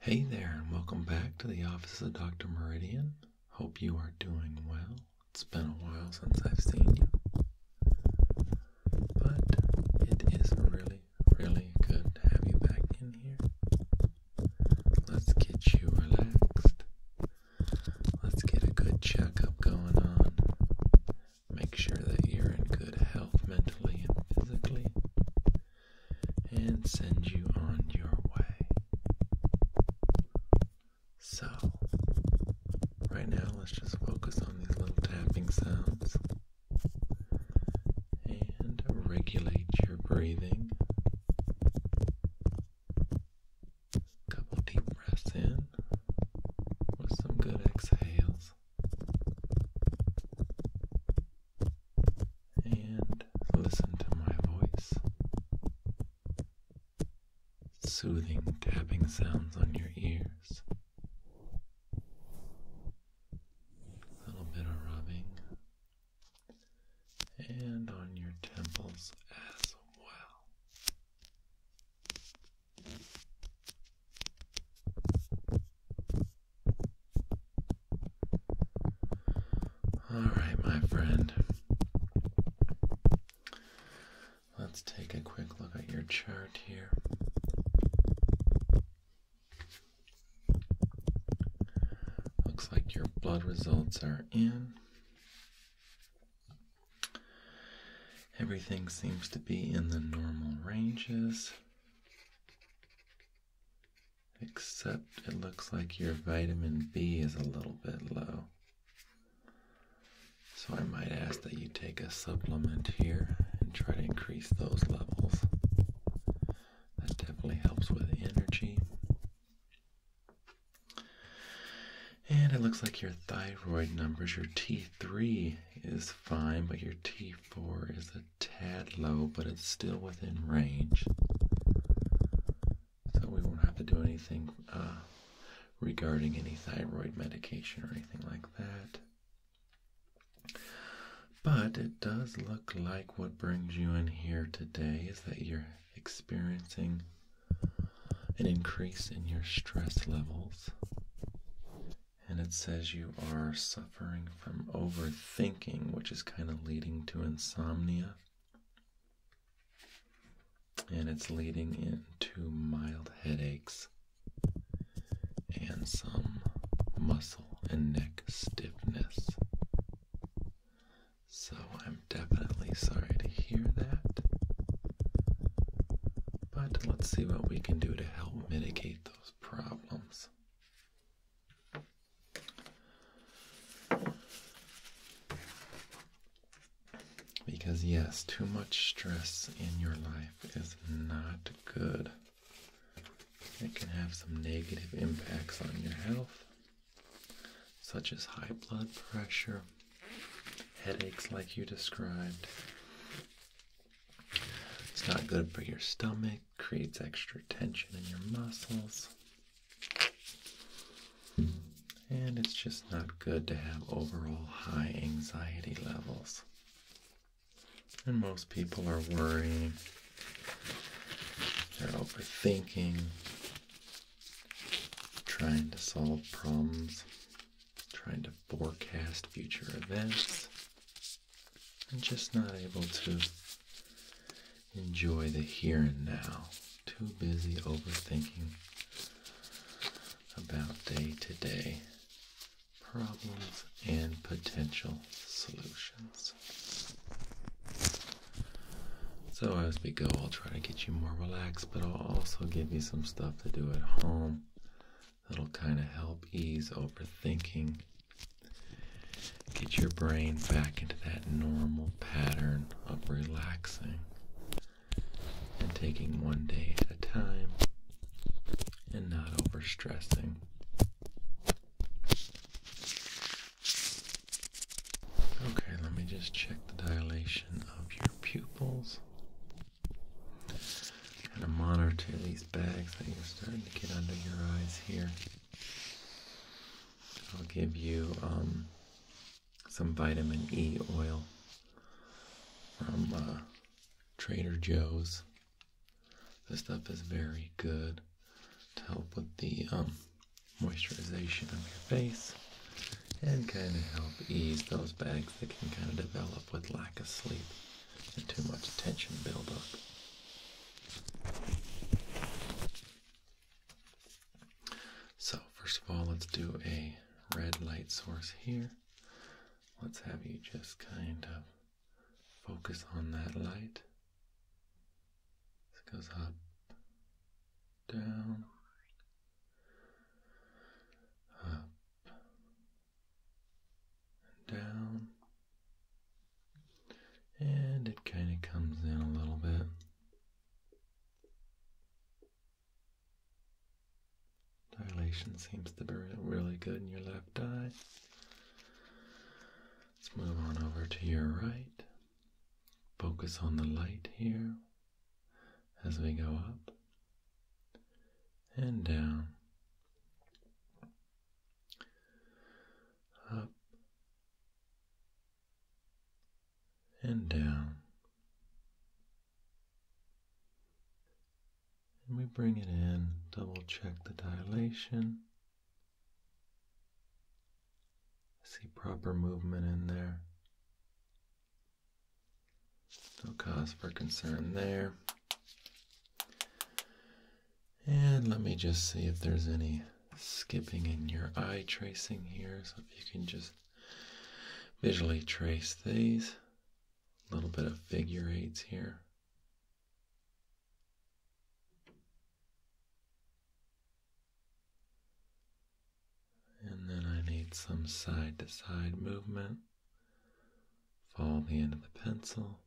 Hey there, and welcome back to the office of Dr. Meridian. Hope you are doing well. It's been a while since I've seen you. But it is really, really good to have you back in here. Let's get you relaxed. Let's get a good checkup going on. Make sure that you're in good health mentally and physically and send you on your way. So, right now, let's just focus on these little tapping sounds and regulate your breathing. A couple deep breaths in with some good exhales and listen to my voice. Soothing tapping sounds on your ears. A little bit of rubbing. And on your temples as well. All right, my friend. Let's take a quick look at your chart here. Looks like your blood results are in. Everything seems to be in the normal ranges. Except it looks like your vitamin B is a little bit low. So I might ask that you take a supplement here and try to increase those levels. That definitely helps with energy. And it looks like your thyroid numbers, your T3 is fine, but your T4 is a tad low, but it's still within range. So we won't have to do anything uh, regarding any thyroid medication or anything like that. But it does look like what brings you in here today is that you're experiencing an increase in your stress levels and it says you are suffering from overthinking, which is kind of leading to insomnia. And it's leading into mild headaches and some muscle and neck stiffness. So I'm definitely sorry to hear that. But let's see what we can do to help mitigate those problems. Because, yes, too much stress in your life is not good. It can have some negative impacts on your health, such as high blood pressure, headaches, like you described, it's not good for your stomach, creates extra tension in your muscles. And it's just not good to have overall high anxiety levels. And most people are worrying, they're overthinking, trying to solve problems, trying to forecast future events. I'm just not able to enjoy the here and now. Too busy overthinking about day to day problems and potential solutions. So, as we go, I'll try to get you more relaxed, but I'll also give you some stuff to do at home That'll kind of help ease overthinking. Get your brain back into that normal pattern of relaxing and taking one day at a time and not overstressing. Okay, let me just check the dilation of your pupils. Kind of monitor these bags that are starting to get under your eyes here. I'll give you um, some vitamin E oil from uh, Trader Joe's. This stuff is very good to help with the um, moisturization of your face and kind of help ease those bags that can kind of develop with lack of sleep too much tension build up. So first of all, let's do a red light source here. Let's have you just kind of focus on that light. It goes up, down, up, and down, and it kind of comes in a little bit. Dilation seems to be really good in your left eye. Let's move on over to your right. Focus on the light here as we go up and down, up and down, and we bring it in, double check the dilation. see proper movement in there. No cause for concern there. And let me just see if there's any skipping in your eye tracing here. So if you can just visually trace these. A little bit of figure eights here. And then I need some side to side movement. Follow the end of the pencil.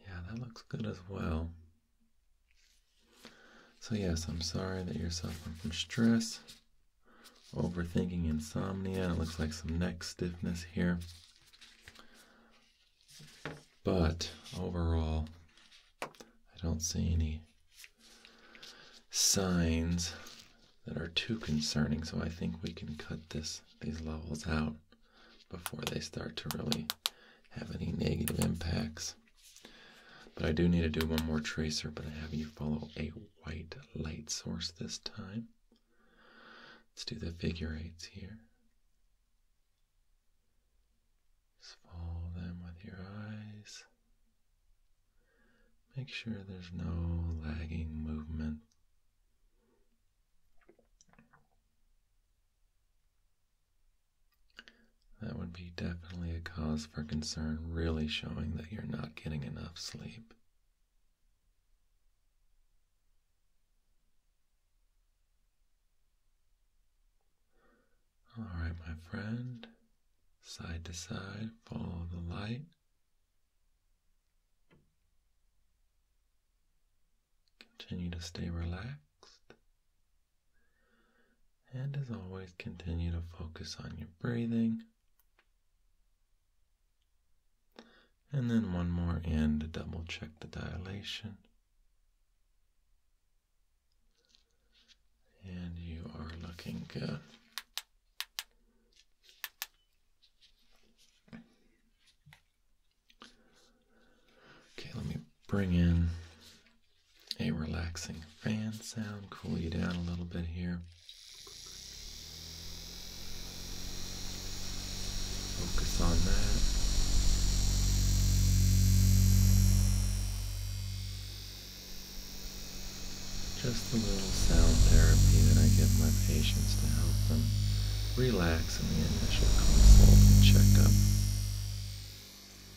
Yeah, that looks good as well. So, yes, I'm sorry that you're suffering from stress overthinking insomnia. It looks like some neck stiffness here. But overall, I don't see any signs that are too concerning, so I think we can cut this these levels out before they start to really have any negative impacts. But I do need to do one more tracer, but I have you follow a white light source this time. Let's do the figure eights here. Just follow them with your eyes. Make sure there's no lagging movement. That would be definitely a cause for concern, really showing that you're not getting enough sleep. All right, my friend, side to side, follow the light. Continue to stay relaxed. And as always, continue to focus on your breathing and then one more in to double check the dilation. And you are looking good. Okay, let me bring in a relaxing fan sound, cool you down a little bit here. Focus on that. Just a little sound therapy that I give my patients to help them relax in the initial consult and checkup.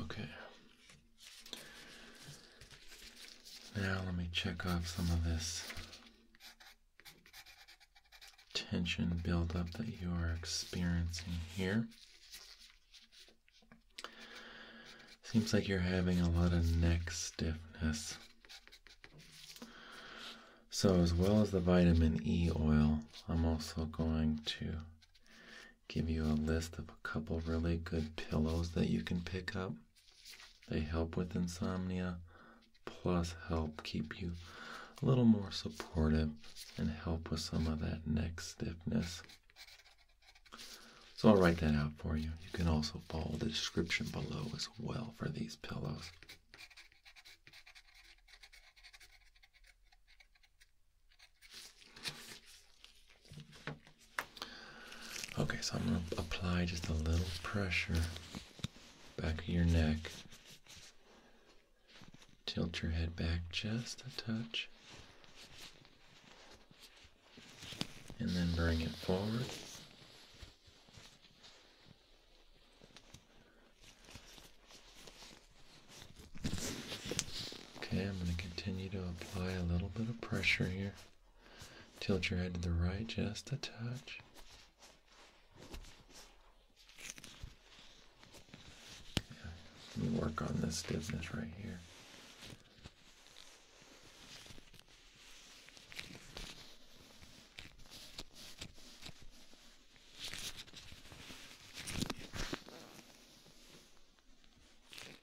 Okay. Now let me check off some of this tension buildup that you are experiencing here. Seems like you're having a lot of neck stiffness. So, as well as the vitamin E oil, I'm also going to give you a list of a couple really good pillows that you can pick up. They help with insomnia, plus, help keep you a little more supportive and help with some of that neck stiffness. So I'll write that out for you. You can also follow the description below as well for these pillows. Okay, so I'm going to apply just a little pressure back of your neck. Tilt your head back just a touch and then bring it forward. Okay, I'm going to continue to apply a little bit of pressure here. Tilt your head to the right just a touch. Let me work on this stiffness right here.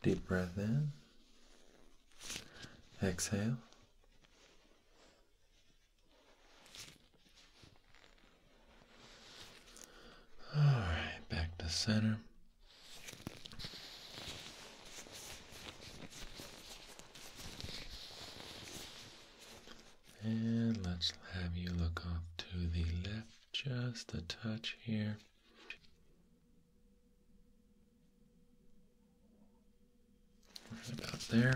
Deep breath in. Exhale. All right, back to center. And let's have you look off to the left just a touch here. about there.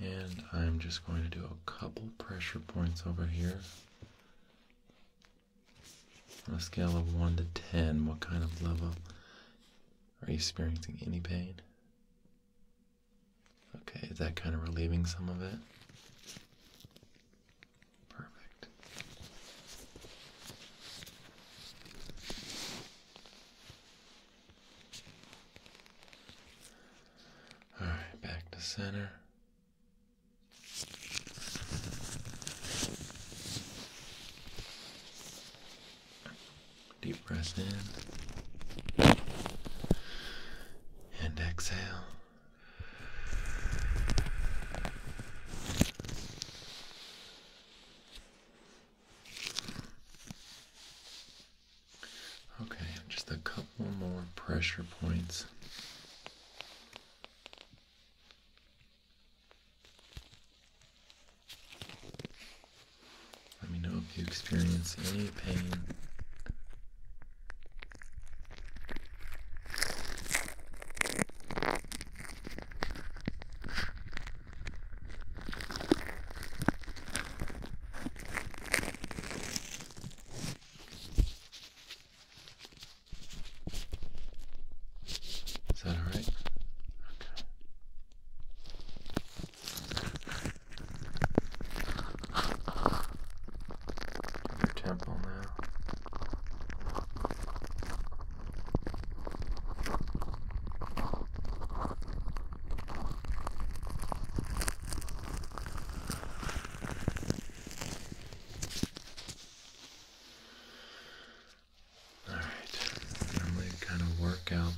And I'm just going to do a couple pressure points over here on a scale of 1 to 10, what kind of level are you experiencing any pain? Okay, is that kind of relieving some of it? Perfect. All right, back to center. Deep breath in and exhale. Okay, just a couple more pressure points. Let me know if you experience any pain. Is that all right? Okay. Your temple now. All right. Normally, kind of work out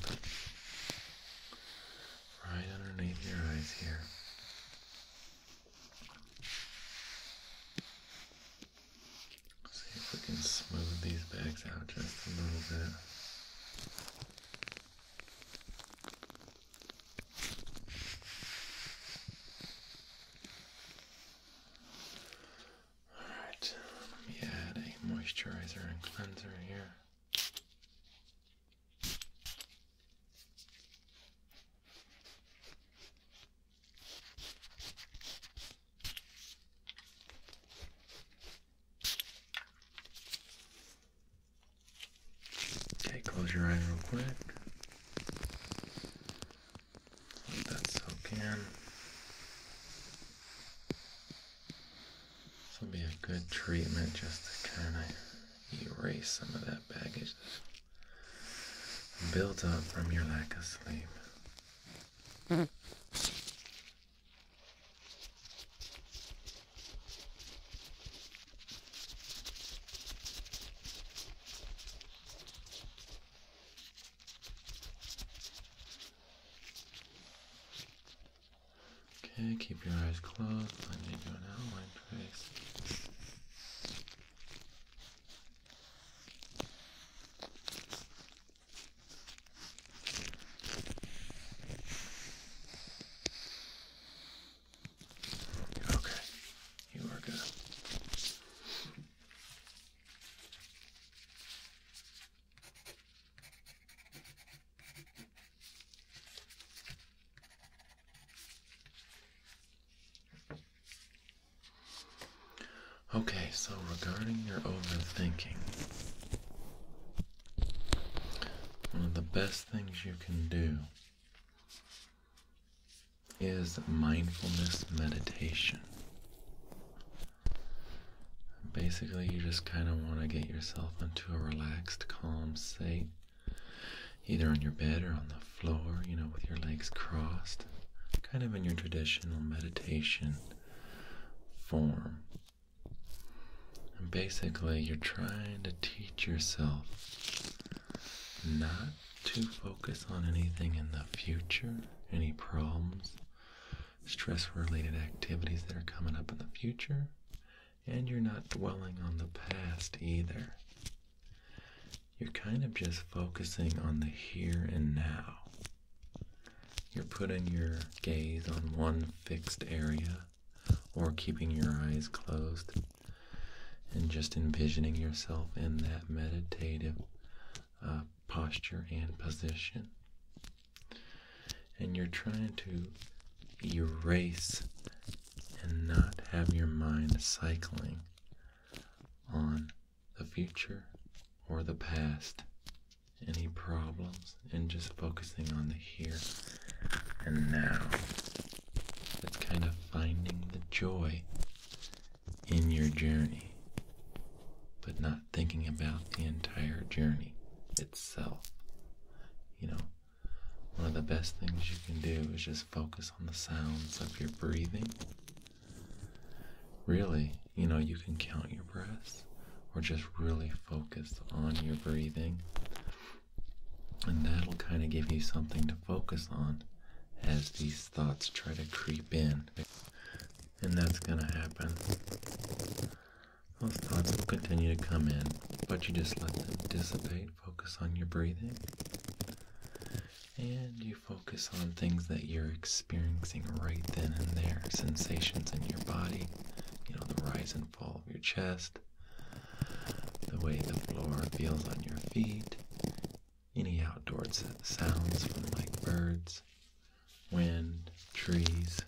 right underneath your eyes here. Let's see if we can smooth these bags out just a little bit. Alright, let me add a moisturizer and cleanser here. Okay, close your eyes real quick. Let that soak in. This will be a good treatment just to kind of erase some of that baggage built up from your lack of sleep. Hmm. Okay, keep your eyes closed. Let me do an outline trace. Okay, you are good. Okay, so regarding your overthinking, one of the best things you can do is mindfulness meditation. Basically, you just kind of want to get yourself into a relaxed, calm state, either on your bed or on the floor, you know, with your legs crossed, kind of in your traditional meditation form basically, you're trying to teach yourself not to focus on anything in the future, any problems, stress related activities that are coming up in the future, and you're not dwelling on the past either. You're kind of just focusing on the here and now. You're putting your gaze on one fixed area or keeping your eyes closed and just envisioning yourself in that meditative uh, posture and position. And you're trying to erase and not have your mind cycling on the future or the past, any problems and just focusing on the here and now. It's kind of finding the joy in your journey, but not thinking about the entire journey itself. You know, one of the best things you can do is just focus on the sounds of your breathing. Really, you know, you can count your breaths or just really focus on your breathing and that'll kind of give you something to focus on as these thoughts try to creep in. And that's going to happen. Those thoughts will continue to come in, but you just let them dissipate. Focus on your breathing. And you focus on things that you're experiencing right then and there sensations in your body, you know, the rise and fall of your chest, the way the floor feels on your feet, any outdoor sounds like birds, wind, trees.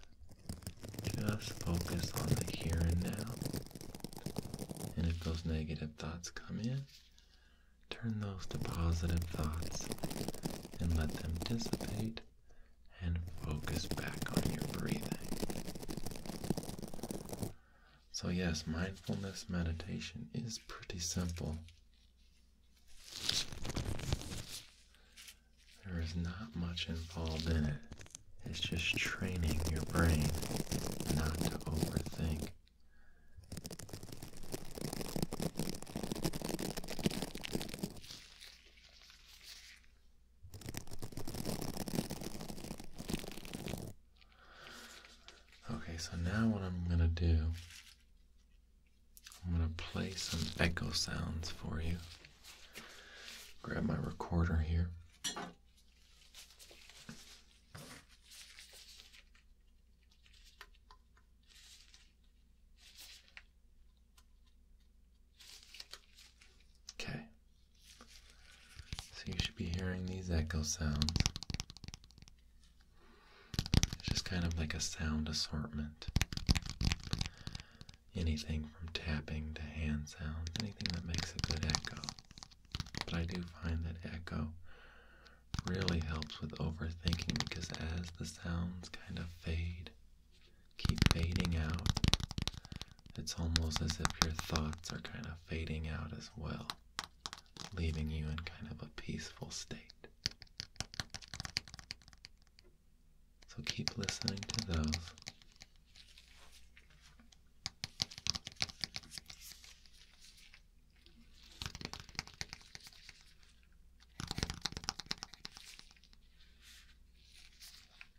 Just focus on the here and now. And if those negative thoughts come in, turn those to positive thoughts and let them dissipate and focus back on your breathing. So, yes, mindfulness meditation is pretty simple. There is not much involved in it. It's just training your brain not to overthink. Okay, so now what I'm going to do, I'm going to play some echo sounds for you. Grab my recorder here. Okay. So you should be hearing these echo sounds. It's just kind of like a sound assortment. Anything from tapping to hand sounds, anything that makes a good echo. But I do find that echo really helps with overthinking because as the sounds kind of fade keep fading out. It's almost as if your thoughts are kind of fading out as well, leaving you in kind of a peaceful state. So keep listening to those.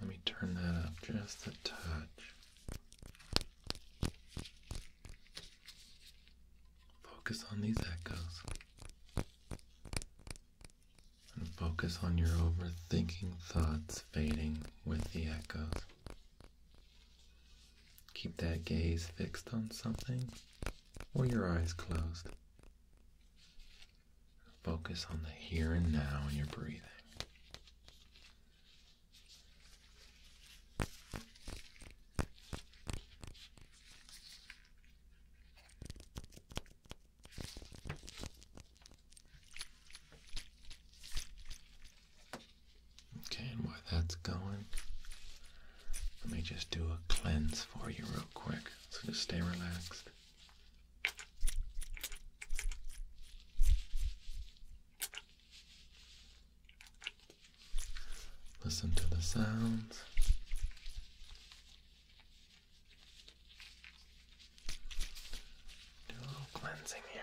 Let me turn that up just a touch. Focus on these echoes. And focus on your overthinking thoughts fading with the echoes. Keep that gaze fixed on something or your eyes closed. Focus on the here and now in your breathing. Okay, and while that's going, let me just do a cleanse for you real quick. So just stay relaxed. Listen to the sounds. Do a cleansing here.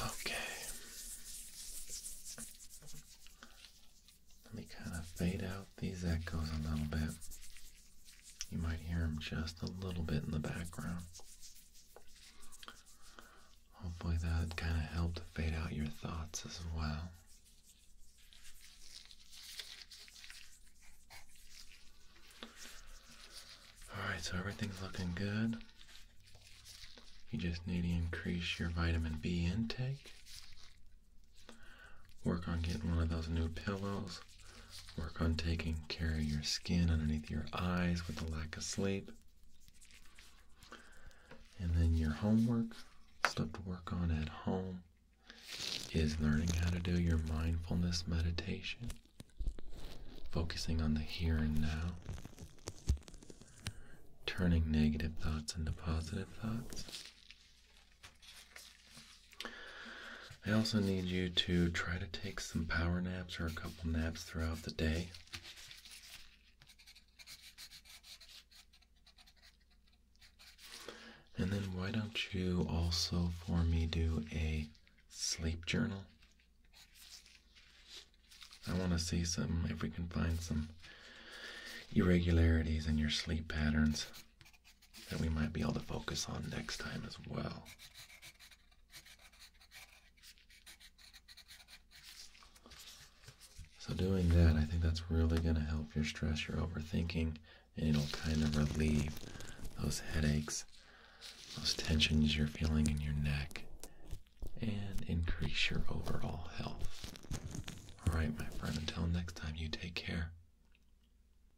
Okay. Let me kind of fade out these echoes a little bit. You might hear them just a little bit in the background. Hopefully, that kind of helped fade out your thoughts as well. Alright, so everything's looking good. You just need to increase your vitamin B intake. Work on getting one of those new pillows Work on taking care of your skin underneath your eyes with the lack of sleep. And then your homework, stuff to work on at home, is learning how to do your mindfulness meditation, focusing on the here and now, turning negative thoughts into positive thoughts, I also need you to try to take some power naps or a couple naps throughout the day. And then, why don't you also, for me, do a sleep journal? I want to see some, if we can find some irregularities in your sleep patterns that we might be able to focus on next time as well. So, doing that, I think that's really going to help your stress, your overthinking, and it'll kind of relieve those headaches, those tensions you're feeling in your neck, and increase your overall health. All right, my friend, until next time, you take care.